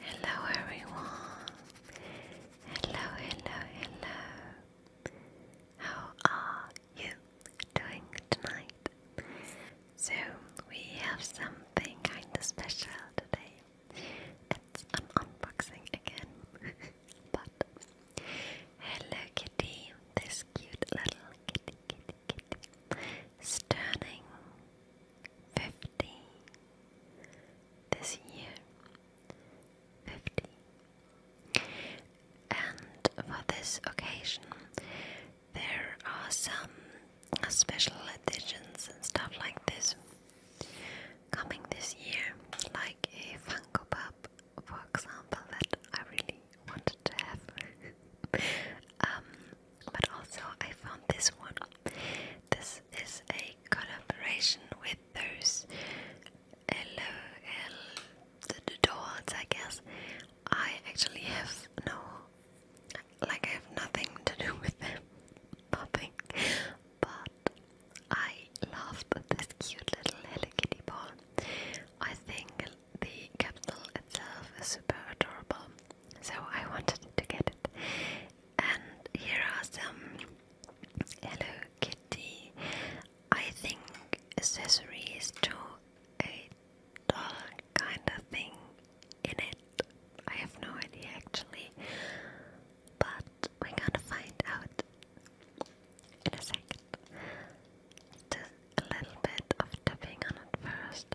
Hello everyone. Hello, hello, hello. How are you doing tonight? So we have something kinda special today. It's an unboxing again. but hello kitty, this cute little kitty kitty kitty turning fifty this year 50 and for this occasion there are some special editions and stuff like this coming this year like a Funko Pop for example that I really wanted to have um, but also I found this one. This is a collaboration with those LOL the dolls, I guess. I actually have no like I have nothing to do with them. Nothing. But I loved this cute little Hello Kitty ball. I think the capsule itself is super adorable so I wanted to get it. And here are some Hello Kitty, I think, accessories to a doll kind of thing in it. I have no idea actually, but we're gonna find out in a second. a little bit of tapping on it first.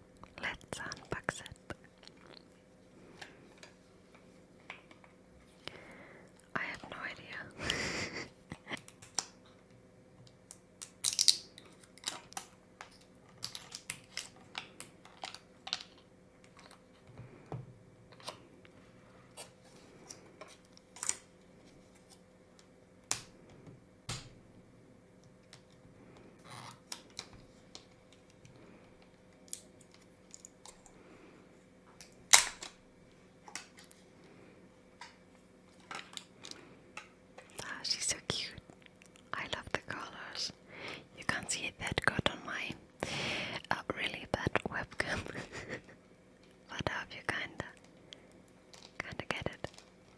Let's unbox it. I have no idea. Ah, she's so cute. I love the colors. You can't see it that good on my uh, really bad webcam, but I hope you kinda, kinda get it.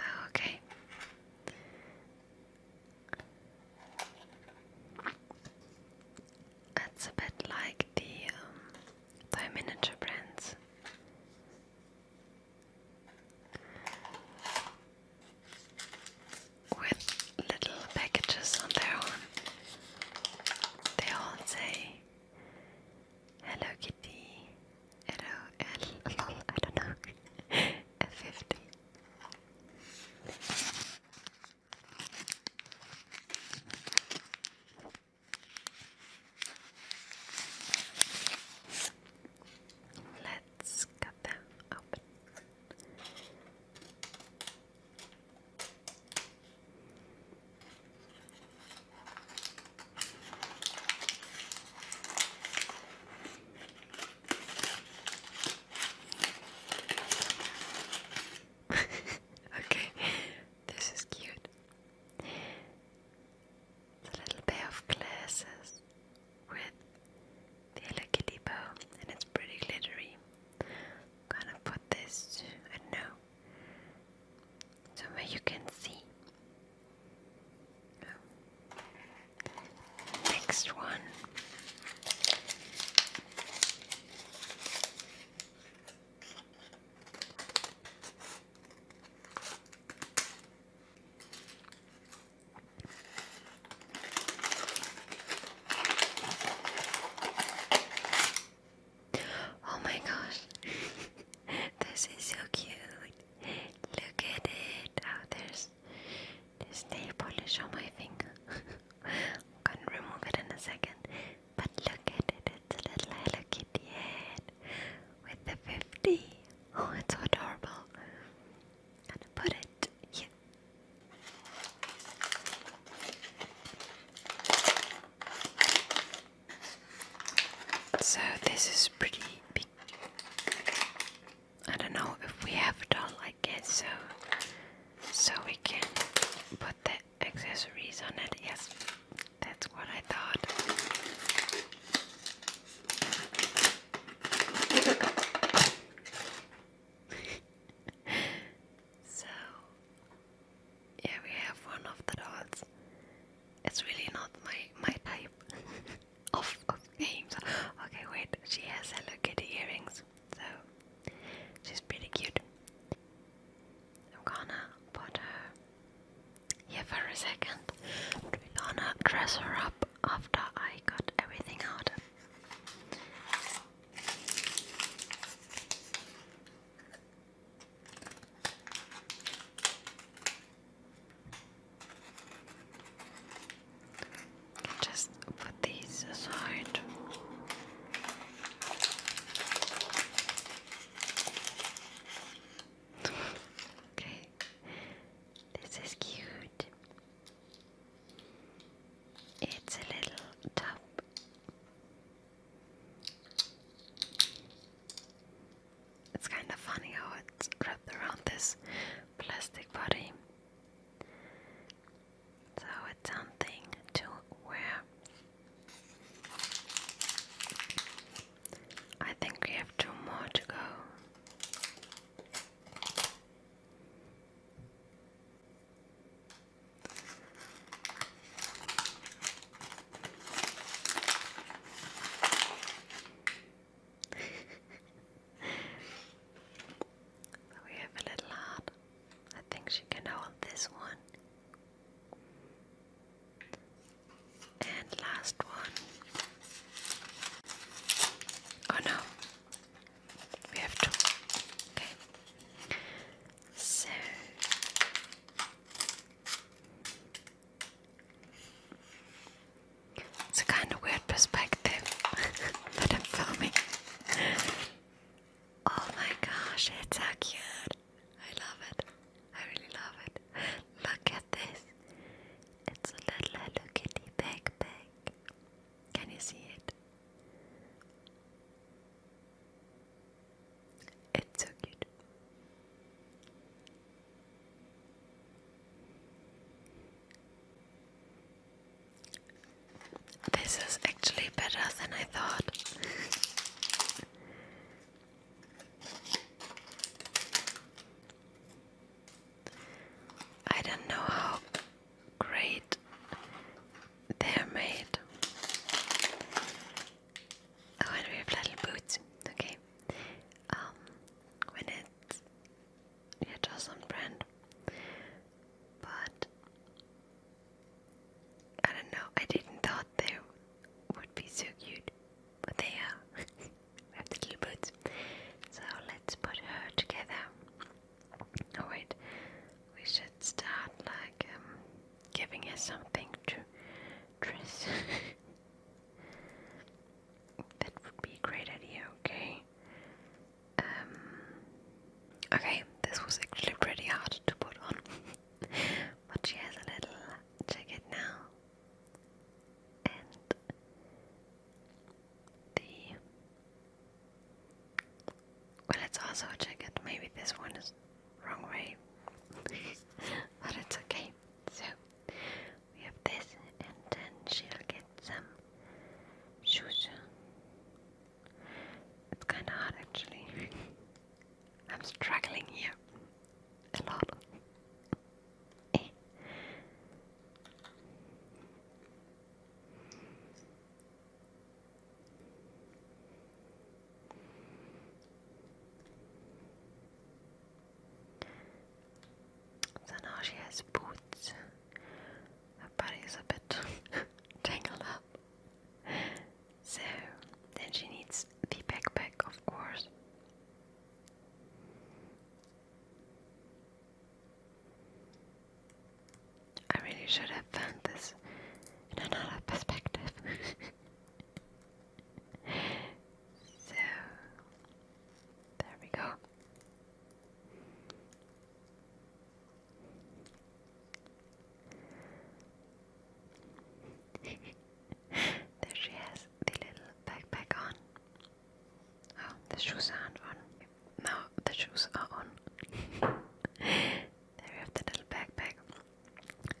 Oh, okay. That's a bit like the um, miniature brands. With little packages on their own, they all say Hello Kitty. Hello L. I don't know. 50 Let's cut them open. okay, this is cute. It's a little pair of glasses with the Hello Kitty and it's pretty glittery. gonna put this, I somewhere you can see. Next one. Oh my gosh, this is so cute. Look at it. Oh, there's nail polish on my finger. I'm gonna remove it in a second. But look at it, it's a little Hello Kitty head with the 50. Oh, it's so adorable. Gonna put it so this is pretty big. I don't know if we have it all, I guess so. So we can put the accessories on it. Yes, that's what I thought. So, yeah, we have one of the dolls. It's really not my my type of, of games. Okay, wait, she has Hello Kitty earrings, so she's pretty cute. I'm gonna put her here for a second. We're gonna dress her up after I got everything out. Just put these aside. okay, this is cute. It's a little tub it's kind of funny how it's wrapped around this plastic body. So it's something to wear. I think we have two more to go. we have a little heart. I think she can hold this one. And last one. Oh no, we have to. Okay. So it's a kind of weird perspective that I'm filming. Oh my gosh, it's so cute. I love it. I really love it. Look at this. It's a little Hello backpack. Can you see it? It's so cute. This is actually better than I thought. I don't know how great they're made. Oh, and we have little boots. Okay, um, when it's yeah, just brand, but I don't know. I didn't thought they would be so cute, but they are. we have the little boots, so let's put her together. Oh wait, we should start like um, giving her something to dress. that would be a great idea. Okay. Um, okay, this was actually pretty hard to put on, but she has a little jacket now, and the well, let also check it. Maybe this one is wrong way, but it's okay. So we have this, and then she'll get some shoes. It's kind of hard, actually. I'm struggling here a lot. Eh. So now she has boots. Her body's a bit tangled up. So then she needs the backpack, of course. I really should have found this in another perspective. so, there we go. there she has the little backpack on. Oh, the shoes are on. No, the shoes are on. there we have the little backpack.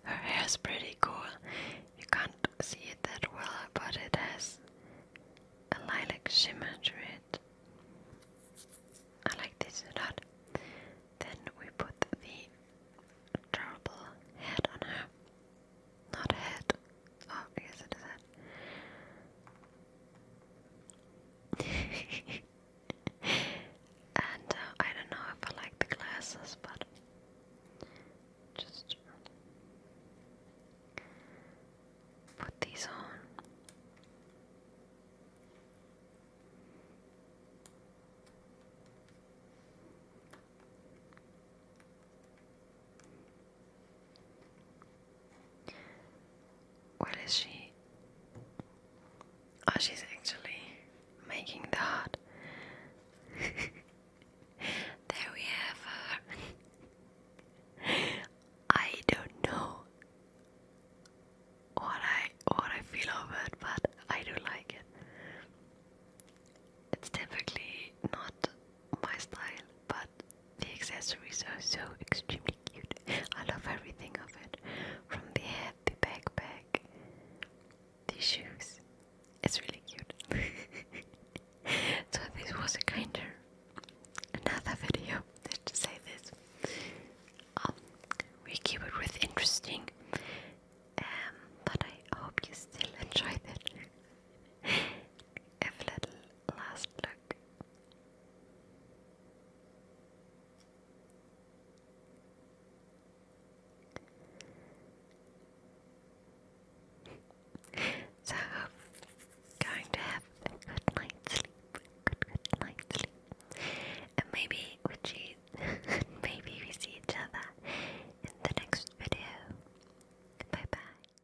Her hair's pretty cool. You can't see it that well, but it has a lilac shimmer to it. I like this a lot. Then we put the terrible head on her. Not a head. Oh, yes, guess it is head. and uh, I don't know if I like the glasses, but just put these on. What is she? Oh, she's actually making the heart. there we have her. I don't know what I what I feel of it, but I do like it. It's typically not my style, but the accessories are so extremely cute. I love everything of it from the hat, the backpack, the shoes. It's really cute. so, this was a kinder another video. Let's just say this. Um, we keep it with interesting, um, but I hope you still enjoyed it. a little last look back. so going to have a good night's sleep. Good good night's sleep. And maybe we see maybe we see each other in the next video. Bye bye.